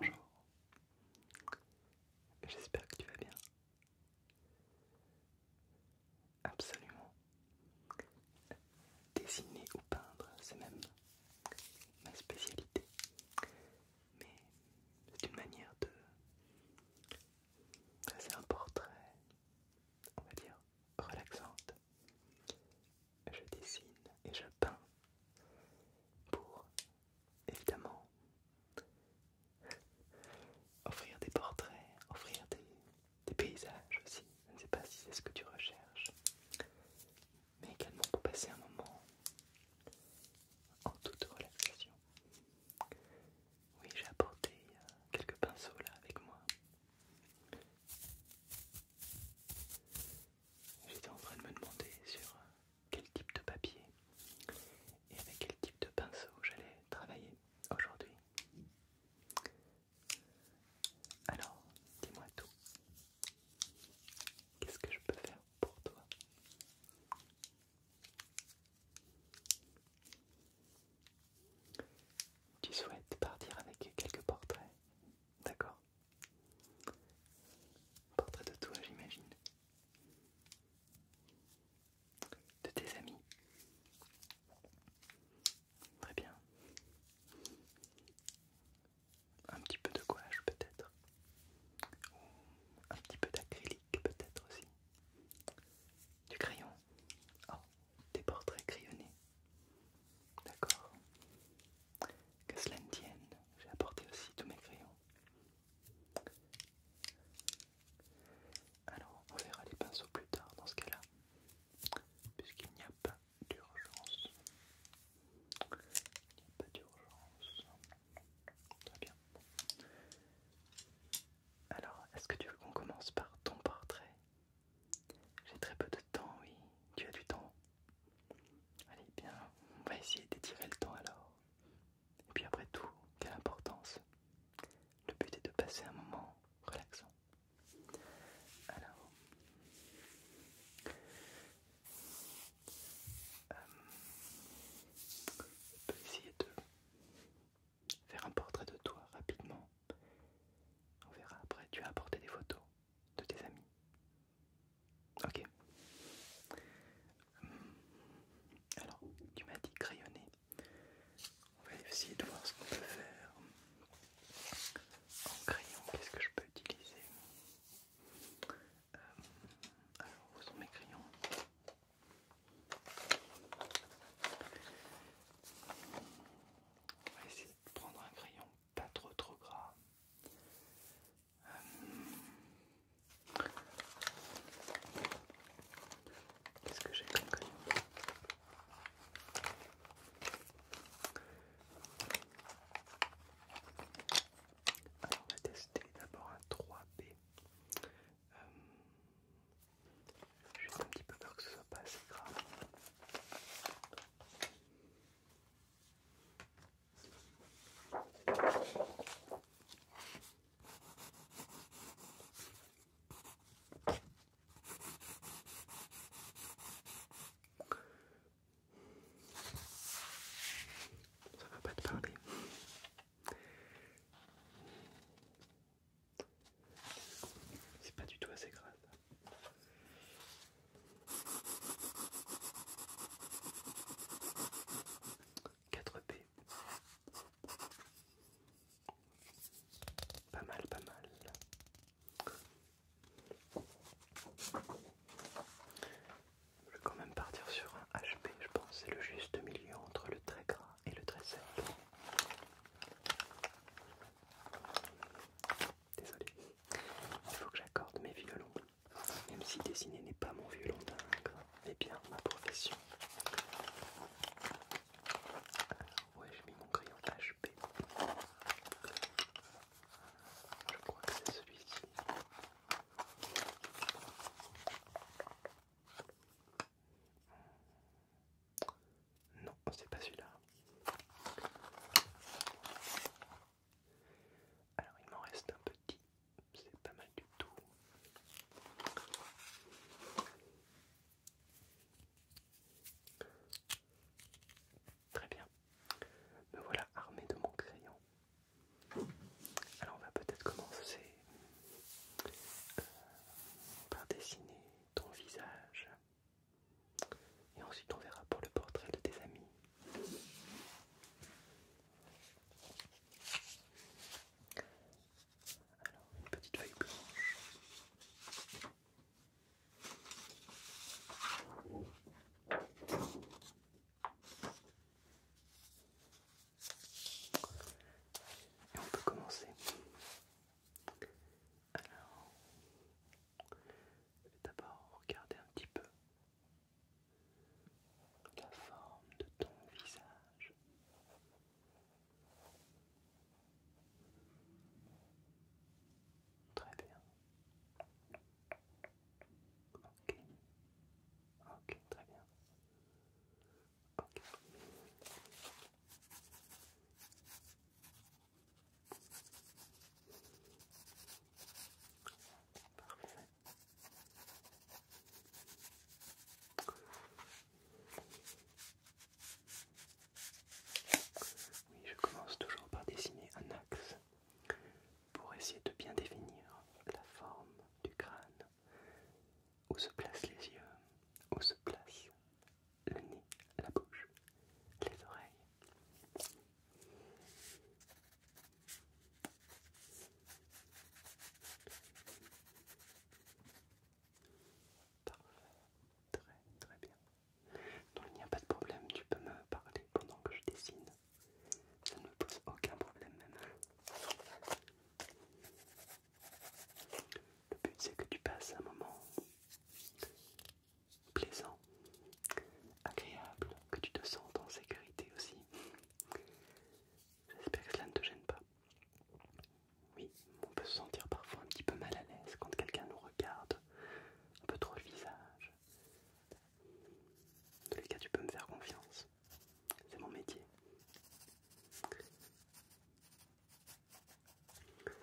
Bonjour, j'espère que tu vas bien. Absolument. Dessiner ou peindre, c'est même ma spécialité. Mais c'est une manière de c'est un portrait, on va dire, relaxante je dessine et je peins pour évidemment offrir des portraits, offrir des, paysages aussi. Je ne sais pas si c'est ce que tu recherches, mais également pour passer un moment en toute relaxation. Oui, j'ai apporté euh, quelques pinceaux là avec moi J'étais en train de me demander sur euh, quel type de papier et avec quel type de pinceau j'allais travailler aujourd'hui. Alors, dis-moi tout. Qu'est-ce que je peux faire pour toi tu souhaites partir avec quelques portraits, d'accord Portrait de toi, j'imagine. De tes amis. Très bien. Un petit peu de gouache peut-être. un petit peu d'acrylique peut-être aussi. Du crayon. Oh des portraits crayonnés. D'accord Que cela ne tienne, j'ai apporté aussi tous mes crayons. Alors, on verra les pinceaux plus tard dans ce cas-là, puisqu'il n'y a pas d'urgence. Il n'y a pas d'urgence. Très bien. Alors, est-ce que tu veux qu'on commence par ton portrait j'ai très peu de temps, oui. Tu as du temps. Allez, bien, on va essayer d'étirer le temps alors. Et puis après tout, quelle importance. Le but est de passer un moment relaxant. Alors, euh, on peut essayer de faire un portrait de toi rapidement. On verra après. Tu as apporté des photos de tes amis. Ok. Hmm. Alors, tu m'as dit crayonner. On va essayer de voir ce qu'on peut faire. En crayon, qu'est-ce que je peux utiliser euh, Alors, où sont mes crayons on va essayer de prendre un crayon pas trop trop gras. Euh, qu'est-ce que j'ai comme crayon alors on va tester d'abord un 3B. J'ai un petit peu peur que ce soit pas assez grave. Ça va pas te parler. C'est pas du tout assez grave. 4 P. Pas mal, pas mal. Je vais quand même partir sur un HP, je pense, c'est le juste milieu entre le très gras et le Désolé, il faut que j'accorde mes violons, même si dessiner n'est pas mon violon dingue, mais bien ma profession. ouais, j'ai mis mon crayon HP. Je crois que c'est celui-ci. Non, c'est pas celui-là. Alors il m'en reste un petit, c'est pas mal du tout. Très bien. Me voilà armé de mon crayon. Alors on va peut-être commencer euh, par dessiner ton visage. Et ensuite on verra pour le portrait de tes amis. Alors, une petite feuille blanche on peut commencer. Alors, vais d'abord regarder un petit peu la forme de ton visage. Très bien. Ok. Ok, très bien. Parfait. Oui, je commence toujours par dessiner un axe pour essayer de bien définir la forme du crâne. Où se placent les yeux Où se place le nez, la bouche, les oreilles Parfait, très très bien. Donc il n'y a pas de problème, tu peux me parler pendant que je dessine. Ça ne me pose aucun problème même. Le but c'est que tu passes un moment plaisant, agréable, que tu te sentes en sécurité aussi. J'espère que cela ne te gêne pas. Oui, on peut se sentir parfois un petit peu mal à l'aise quand quelqu'un nous regarde un peu trop le visage. Dans cas, tu peux me faire confiance. C'est mon métier. Ok. Très très bien.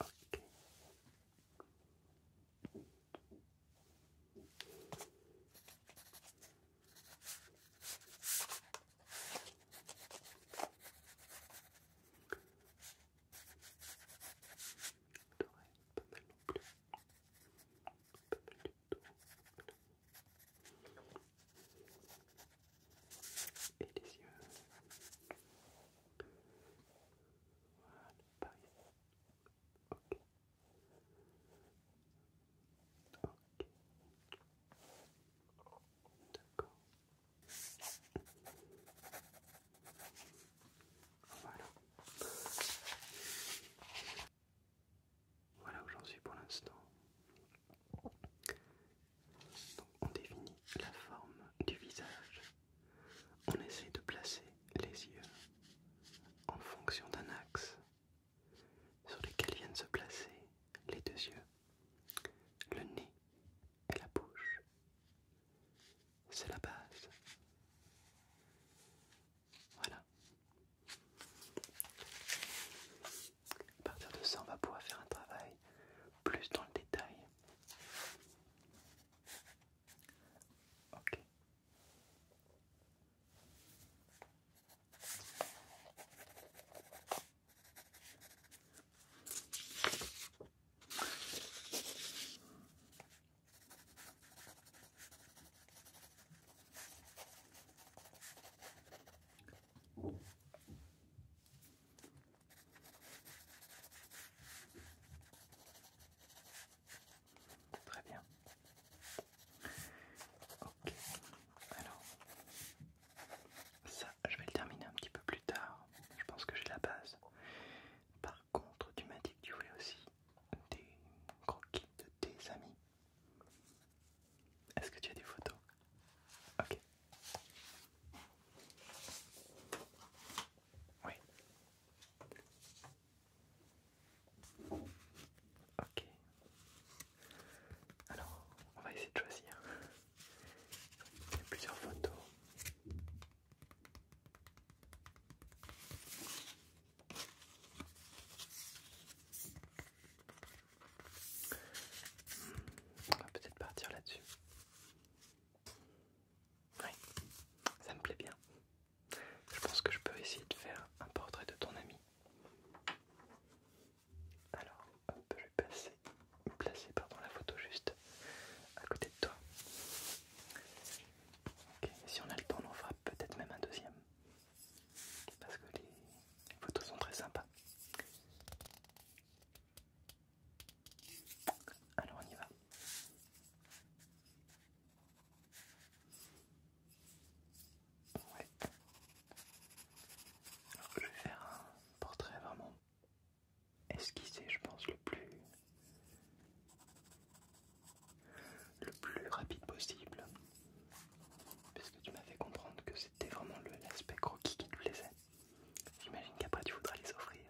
Ok pas mal non plus. Et les yeux. Voilà, par Ok. D'accord. Voilà. où j'en suis pour l'instant. on définit la forme du visage. On essaie de placer les yeux en fonction d'un axe sur lequel viennent se placer les deux yeux le nez et la bouche. C'est la base. Voilà. À partir de ça, on va pouvoir faire un travail plus dans le détail. Ok. Très bien. Ok. Alors, ça, je vais le terminer un petit peu plus tard. Je pense que j'ai la base. Par contre, tu m'as dit que tu voulais aussi des croquis de tes amis. Est-ce que tu as des photos Ok. Oui. Ok. Alors, on va essayer de choisir. Il y a plusieurs photos. Hmm, on va peut-être partir là-dessus. Oui, ça me plaît bien. Je pense que je peux essayer de faire un portrait de ton ami. Alors, on peut vais passer, placer la photo juste à côté de toi. Ok. Si on a le temps, on en fera peut-être même un deuxième. Parce que les, photos sont très sympas. Alors on y va. Ouais. Je vais faire un portrait vraiment esquissé, je pense, le plus le plus rapide possible. Parce que tu m'as fait comprendre que c'était vraiment l'aspect croquis qui te plaisait. J'imagine qu'après tu voudras les offrir.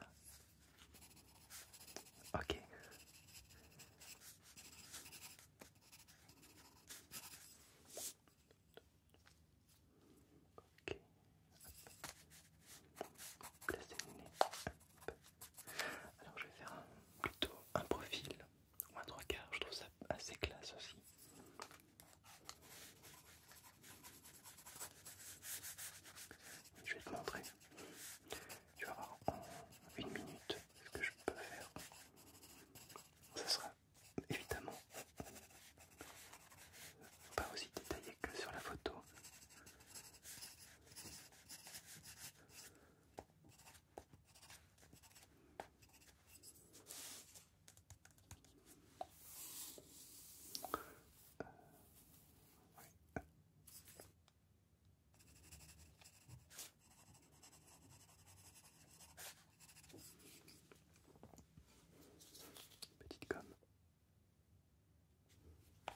Ok. Ok. placer le nez. Alors je vais faire plutôt un profil ou un trois quarts, je trouve ça assez classe aussi. Je vais te montrer. Tu vas voir en une minute ce que je peux faire. Ça sera évidemment pas aussi détaillé que sur la photo. Petite gomme. Et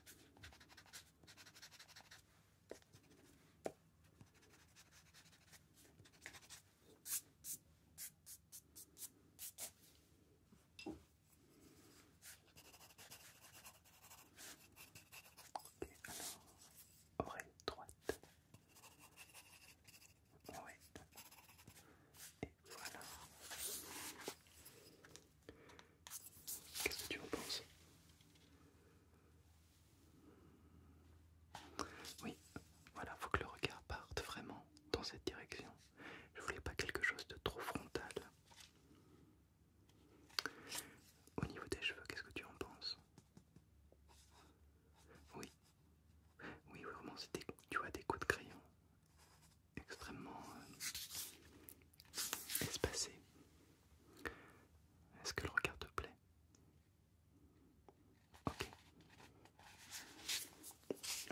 alors, oreille droite. Ouais. Et voilà. Qu'est-ce que tu en penses Oui, voilà, Il faut que le regard parte vraiment dans cette direction. Je voulais pas quelque chose de trop frontal. Au niveau des cheveux, qu'est-ce que tu en penses oui, oui, vraiment, c'était, tu vois des coups de crayon extrêmement euh, espacés. Est-ce que le regard te plaît Ok.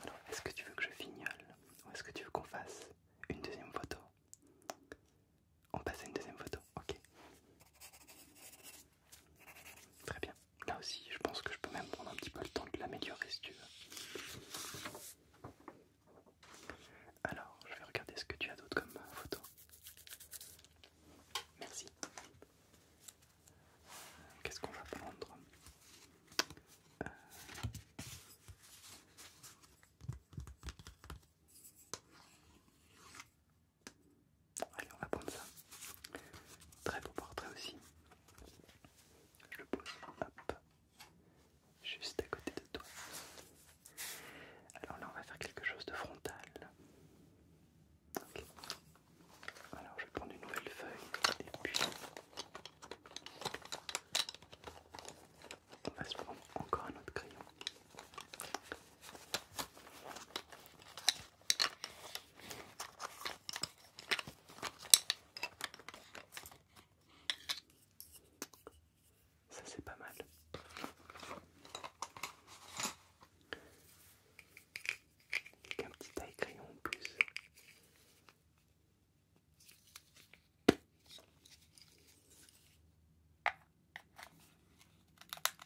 Alors, est-ce que tu veux que je fignole ou est-ce que tu veux qu'on fasse une deuxième photo on passe à une deuxième photo, ok. Très bien. Là aussi, je pense que je peux même prendre un petit peu le temps de l'améliorer si tu veux. Alors, je vais regarder ce que tu as d'autre comme photo. Merci. Qu'est-ce qu'on va prendre euh. Allez, on va prendre ça. Très beau portrait aussi. Je le pose hop, juste à côté de toi. Alors là, on va faire quelque chose de frontal. Alors je vais prendre une nouvelle feuille et puis on va se prendre encore un autre crayon. Ça c'est pas mal. Qu'un un petit taille crayon en plus. Parfait.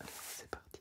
Alors c'est parti.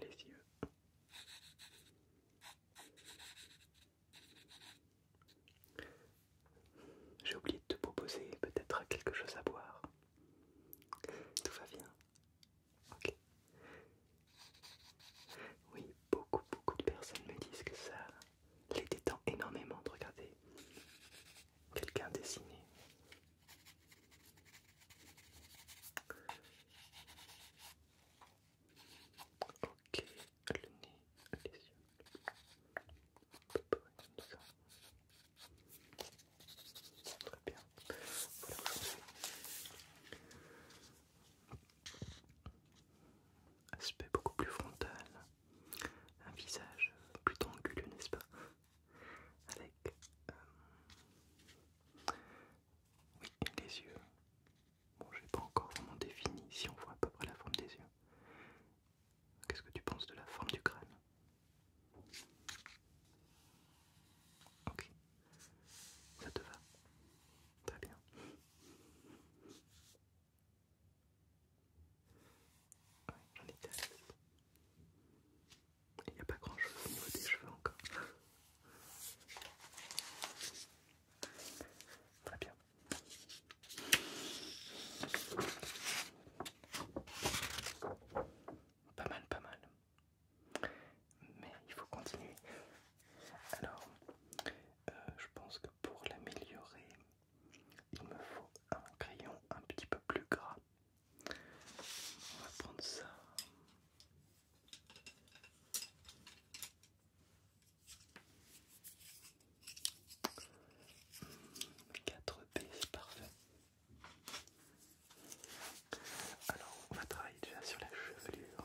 les yeux. J'ai oublié de te proposer peut-être quelque chose à boire. Tout va bien. Ok. Oui, beaucoup, beaucoup de personnes me disent que ça les détend énormément de regarder quelqu'un dessiner. Ok, le nez, les yeux. ça. Très bien. Aspect beaucoup plus frontal un visage plutôt anguleux, n'est-ce pas Avec euh, les yeux. Bon, j'ai pas encore vraiment défini si on voit à peu près la forme des yeux. Qu'est-ce que tu penses de la forme du crâne Ok, ça te va Très bien. Ouais, j'en ai Il n'y a pas grand chose au niveau des cheveux encore. Très bien. Pas mal, pas mal. Mais il faut continuer. Alors, euh, je pense que pour l'améliorer, il me faut un crayon un petit peu plus gras. On va prendre ça. 4 B, c'est parfait. Alors, on va travailler déjà sur la chevelure.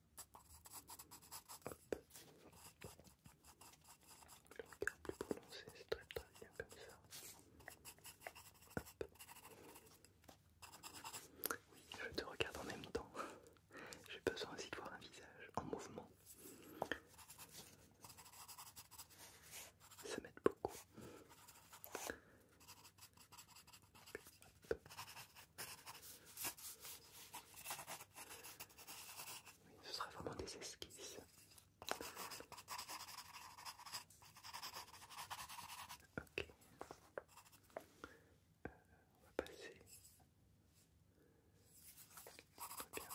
Je regarde plus prononcé, c'est très très bien comme ça. Oui, je te regarde en même temps. J'ai besoin aussi de voir un visage en mouvement. Ça m'aide beaucoup. Ce sera vraiment des esquisses. Ok. Euh, on va passer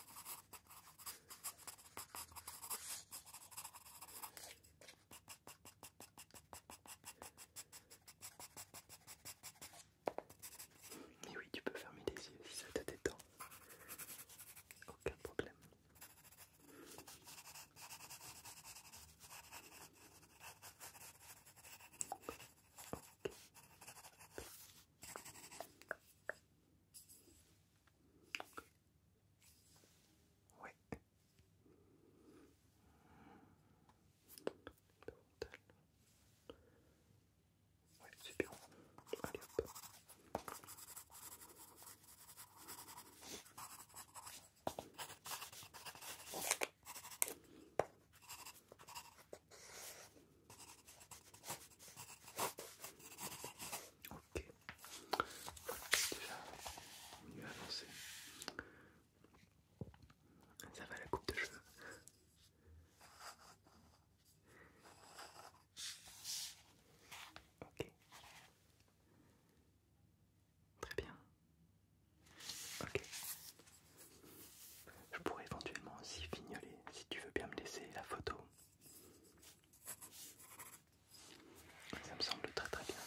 oui, tu peux fermer les yeux si ça te détend. Aucun problème. Ouais. Ouais, c'est bien. Allez hop. Ok, déjà on y va avancé. Ça va la coupe de cheveux. Ok. Très bien. Ok. Je pourrais éventuellement aussi fignoler si tu veux bien me laisser la photo. Ça me semble très très bien.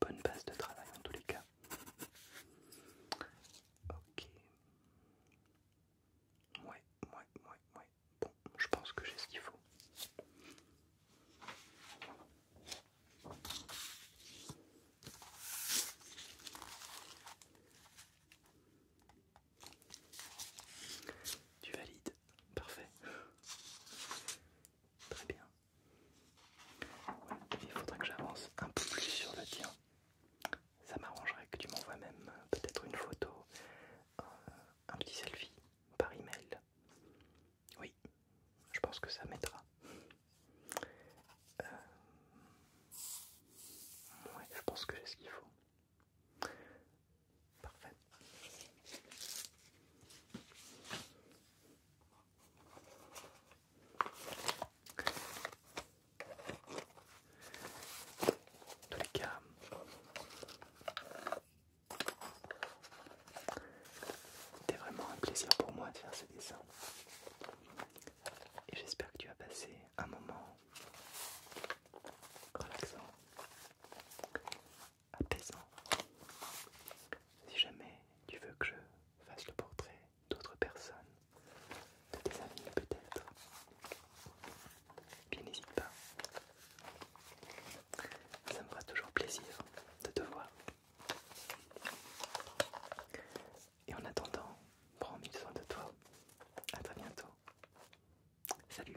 bonne base de travail en tous les cas. Ok. Ouais, ouais, ouais, ouais. Bon, je pense que j'ai ce qu'il faut. Tu valides, parfait. Très bien il faudrait que j'avance un peu plus sur le tien. Ça m'arrangerait que tu m'envoies même euh, peut-être une photo, euh, un petit selfie par email. Oui, je pense que ça m'aidera. Euh, je pense que j'ai ce qu'il faut. Parfait tous les cas, c'était vraiment un plaisir pour moi de faire ce dessin. Et j'espère que tu as passé un moment relaxant, apaisant. Si jamais tu veux que je fasse le portrait d'autres personnes, de tes amis peut-être. Bien n'hésite pas. Ça me fera toujours plaisir de te voir. Et en attendant, prends une soin de toi. À très bientôt. Salut